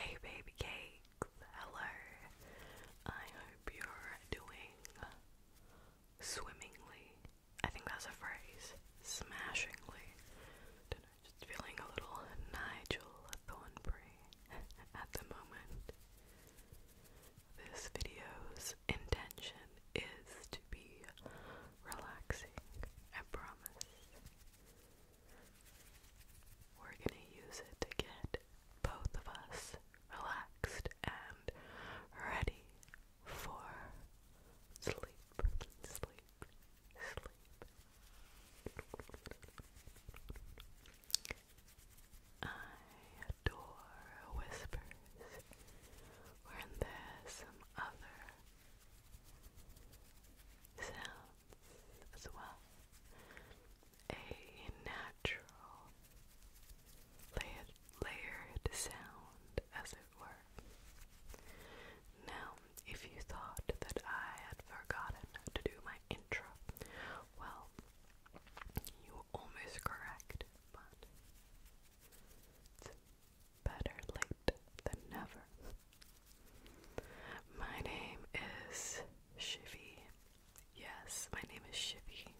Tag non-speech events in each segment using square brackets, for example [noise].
Hey, baby cakes. Hello. I hope you're doing swimmingly. I think that's a phrase. Smashingly. Just feeling a little Nigel Thornberry [laughs] at the moment. This video's intention is to be relaxing, I promise. We're gonna use it to get both of us relaxed and ready for sleep, sleep, sleep. I adore whispers, when there's some other sounds as well. A natural layered sound as it were. Now, if you thought that I had forgotten to do my intro, well, you were almost correct, but better late than never. My name is Shivy. Yes, my name is Shivy.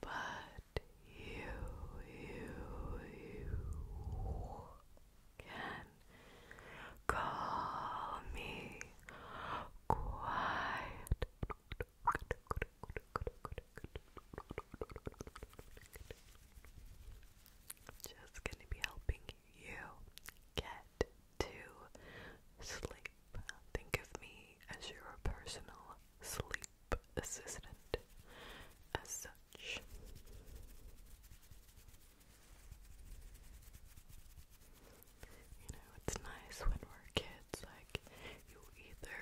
But you, you, you can call me quiet. Just going to be helping you get to sleep. Think of me as your personal sleep assistant. As much. You know, it's nice when we're kids, like, you either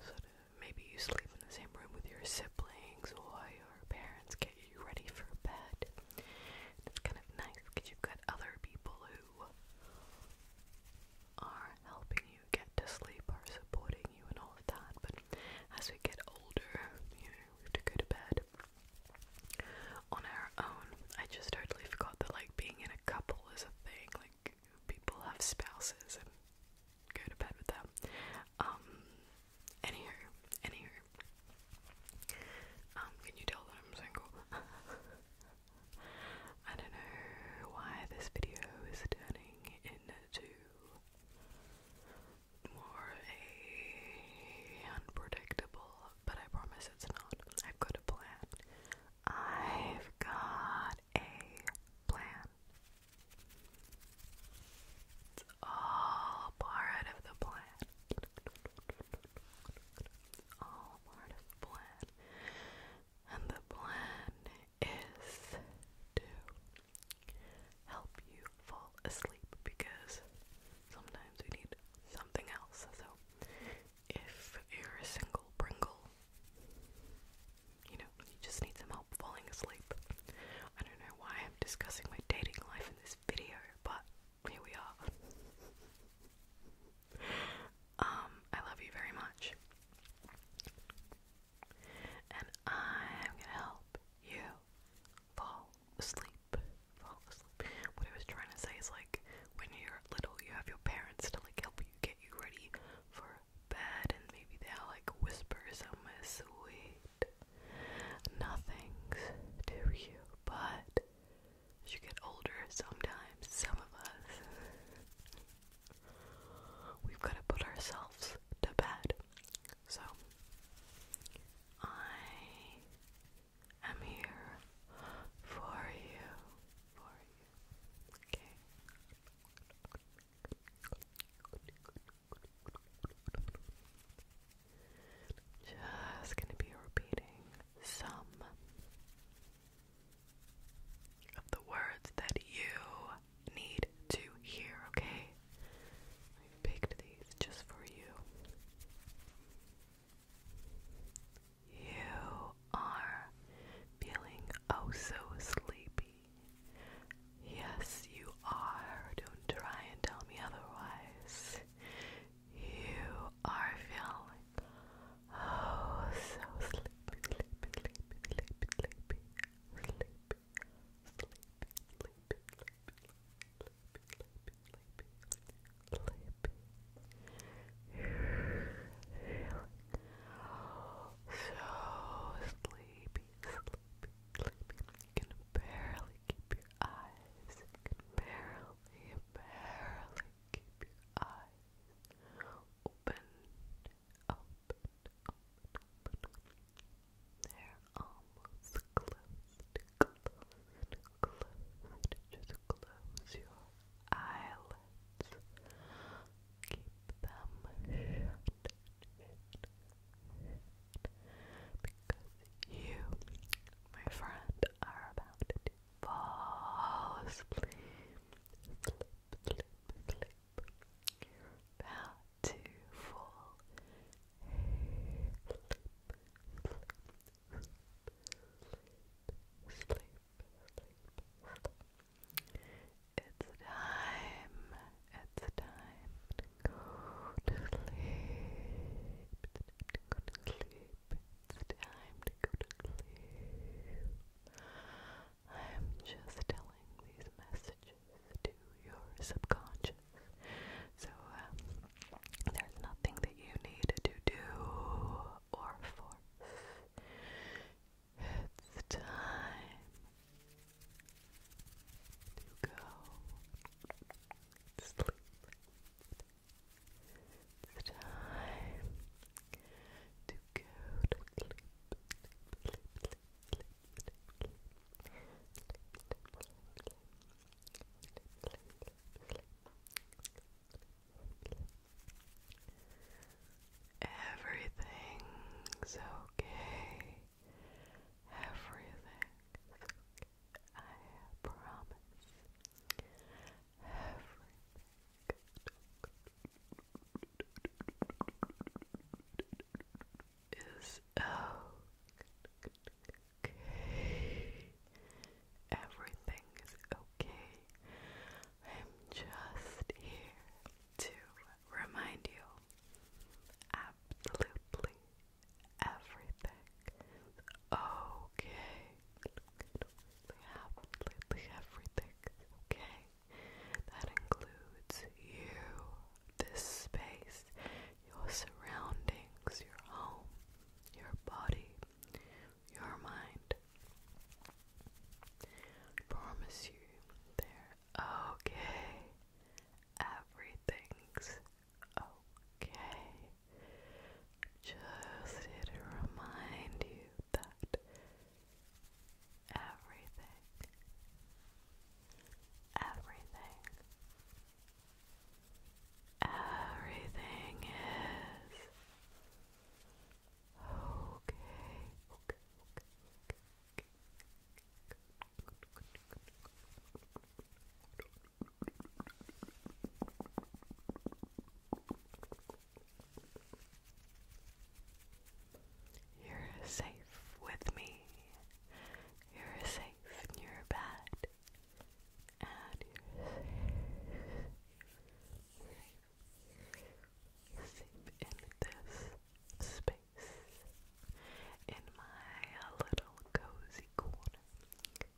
sort of maybe you sleep in the same room with your siblings or your parents get you ready for bed. It's kind of nice because you've got other people who are helping get to sleep are supporting you and all of that. But as we get older, you know, we have to go to bed on our own. I just totally forgot that like being in a couple is a thing. Like people have spouses and go to bed with them. Um anywho, anywho. Um, can you tell that I'm single? [laughs] I don't know why this video is turning into more unpredictable, but I promise it's not. I've got a plan. I've got a plan. It's all part of the plan. all part of the plan and the plan is to help you fall asleep because sometimes we need something else. So, if you're a single Pringle, you know, you just need some help falling asleep. I don't know why I'm discussing my dating life in this video, but here we are. [laughs] Um, I love you very much and I'm gonna help you fall asleep. Fall asleep. What I was trying to say is like when you're little, you have your parents to like help you get you ready for bed, and maybe they'll like whisper some sweet nothings to you, but. As you get older, sometimes some of us We've got to put ourselves to bed. So, I am here for you. For you. Okay. Just gonna be repeating some of the words that you need to hear, okay? I picked these just for you. You are feeling oh so sleepy. Yes, you are. Don't try and tell me otherwise. You are feeling oh so sleepy, sleepy, sleepy, sleepy, sleepy sleepy, sleepy, sleepy, sleepy, sleepy, so sleepy, sleepy, sleepy. You can barely keep your eyes. You can barely, barely keep your eyes open open, almost closed, closed, closed. Just close your eyelids. Keep them shut, Because you, my friend, are about to fall asleep about to fall sleep, It's time, it's time to go to sleep, it's time to go to sleep. I am just telling these messages to your subconscious. So, um, there's nothing that you need to do or force. It's time to go sleep. It's time to to go to sleep, sleep, sleep, sleep, sleep, sleep. Everything's okay. Everything's okay. I promise. Everything is okay. Everything is okay. I'm just here to remind you absolutely everything okay. Absolutely everything okay that includes you, this space, your surroundings, your home, your body, your mind. I promise you, they're okay. Everything's okay. Just here to remind you that everything, everything, everything is okay. You're safe with me. You're safe in your bed. And you're safe. Safe in this space. In my little cozy corner.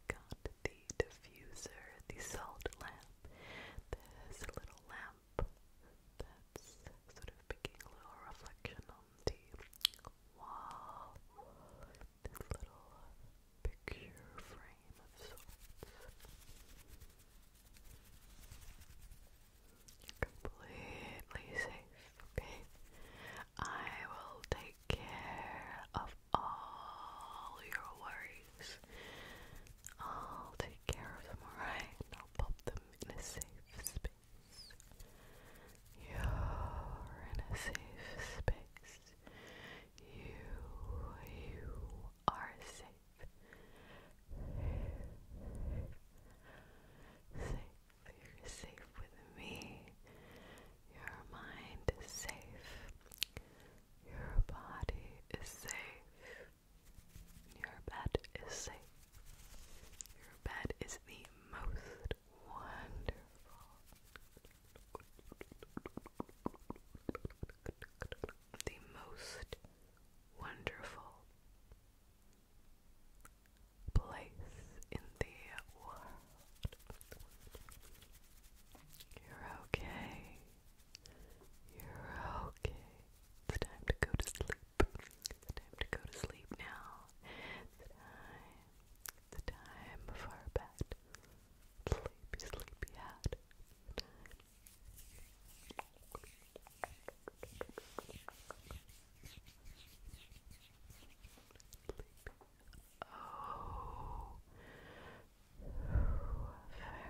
Got the diffuser, the salt lamp. This little lamp that's sort of making a little reflection on the wall. This little picture frame of sorts. You're completely safe, okay? I will take care of all your worries. I'll take care of them, alright? I'll pop them in a safe space. You're in a safe space. You, you are safe. Safe. You're safe with me. Your mind is safe. Your body is safe. Your bed is safe. Your bed is the most wonderful, the most wonderful place in the world. You're okay. You're okay. It's time to go to sleep. It's time to go to sleep now. It's time. It's time for bed. Sleepy, sleepy Oh, very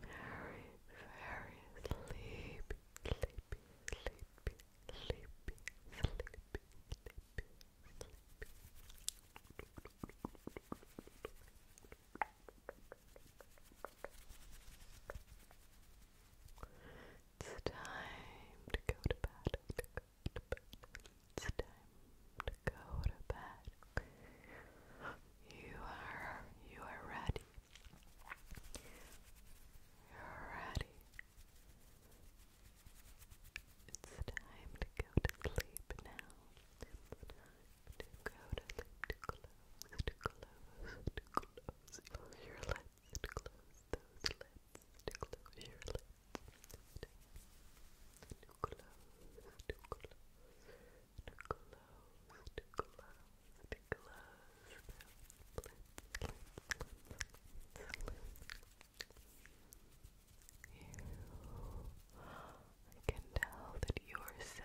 very, very sleepy, sleepy, sleepy, sleepy, sleepy, sleepy, sleepy. It's time to go to bed. To go to bed. It's time to go to bed. You are you are ready. You're ready. It's time to go to sleep now. to go to sleep, to close, to close, to close your lips, to close those lips, to close your lips. to close, to close, closed, closed, closed. You, I can tell that You are so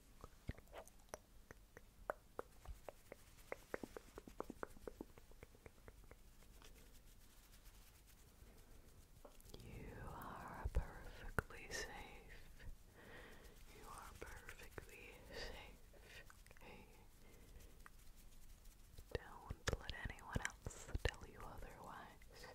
You are perfectly safe. You are perfectly safe. Okay? Don't let anyone else tell you otherwise.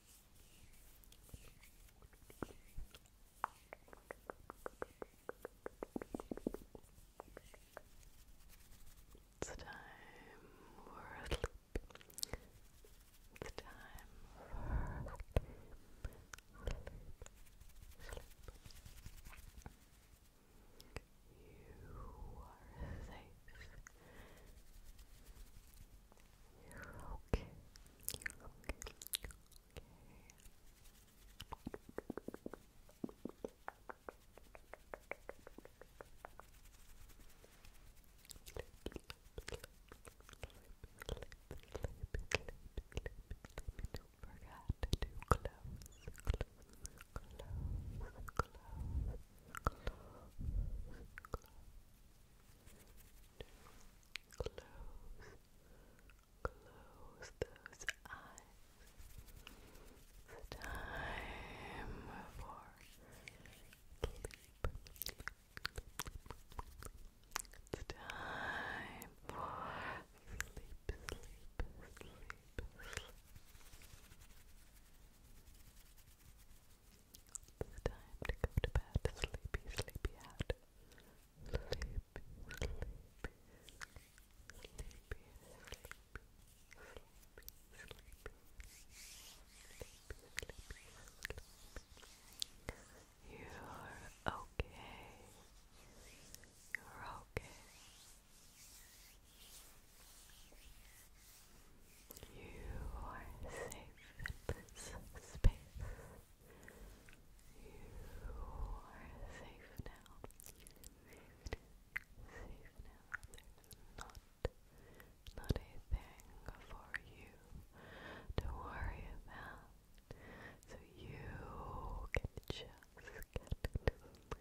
It's time for sleep. It's time for Sleep. Sleep. You are safe. You're okay. You're okay. You're okay. Don't forget to close, close, close, close, close, close. Close, close those eyes. It's time for sleep. It's time for sleep, sleep, sleep, sleep. It's time to go to bed. Sleepy, sleepy out. Sleepy, sleepy, sleepy, sleepy, sleepy, sleepy, sleepy, sleepy. You're okay. You're okay. You are safe in this space. You are safe now. Safe, safe now. There's not, not a thing for you to worry about. So you can just get to sleep.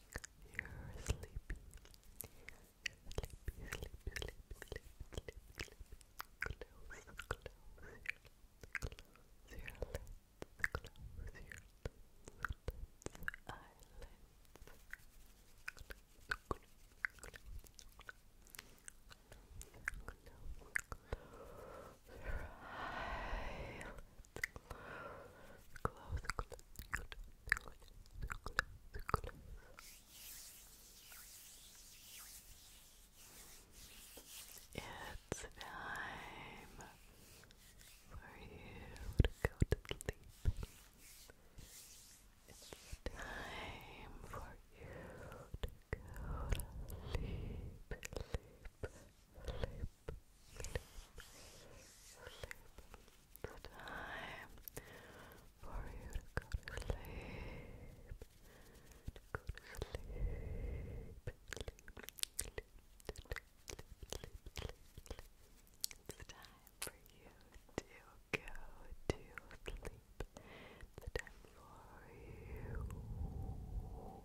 You're sleepy. Sleepy, sleepy, sleepy, sleepy, sleepy, sleepy. Close, close your lips, close your lips, close your eyelids. Close, close, close, close your eyelids. It's time for you to go to sleep. It's time for you to go to sleep, sleep, sleep, the time for you to go to sleep. To go to sleep. Sleep, sleep, sleep, sleep, sleep, sleep. It's time for you to go to sleep. It's time for you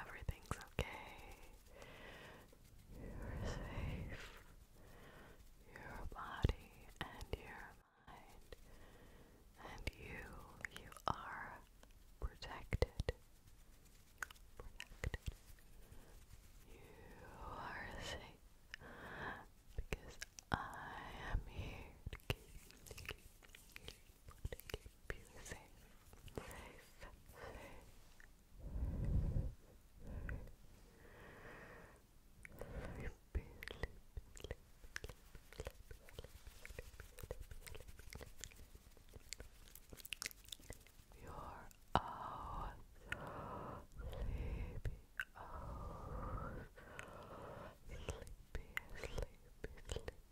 Everything's okay. You're safe. Your body and your mind. And you, you are protected. Protected. You are safe because I am here everybody keep you safe, safe, safe, safe. Sleepy, sleepy, sleepy, sleepy, sleepy, sleepy, You're oh so sleepy, oh so sleepy, sleepy, sleepy,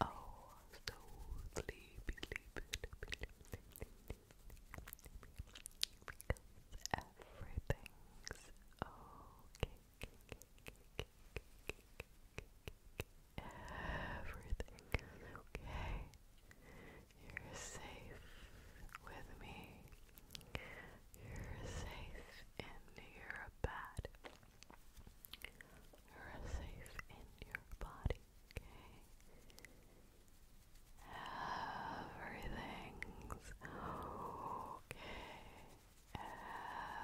Oh, so sleepy, sleepy, sleepy, sleepy. Because everything's okay. Everything okay. You're safe with me. You're safe in your bed. You're safe in your body, okay? Everything's okay. Everything's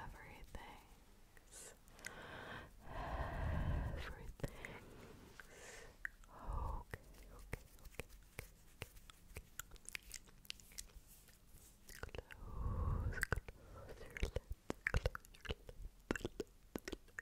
everything's okay, okay, okay, okay, okay. Close,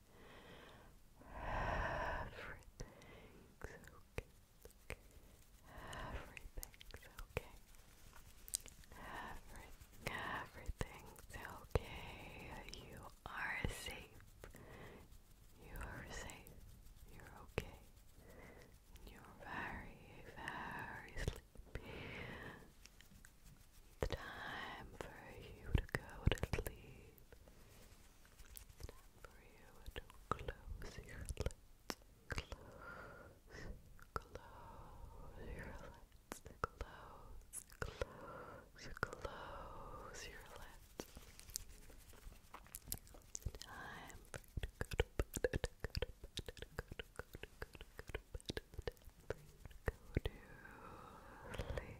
Everything's okay. Everything's okay. Every everything's okay. You are safe. You are safe. You're okay. You're very, very sleepy. time for you to go to sleep. It's for you to close your lids. Close, close your lids. Close, close, close your lids. It's time for you to go to bed, to go to bed, to go to, go to, go to, go to bed. Go to sleep.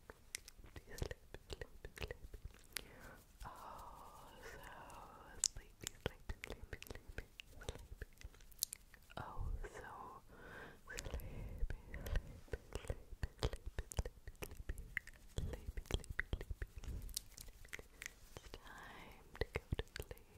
sleepy, sleepy, Oh, so sleepy, sleepy, sleepy, sleepy, Oh, so sleepy, sleepy, sleepy, sleepy, It's time to go to sleep.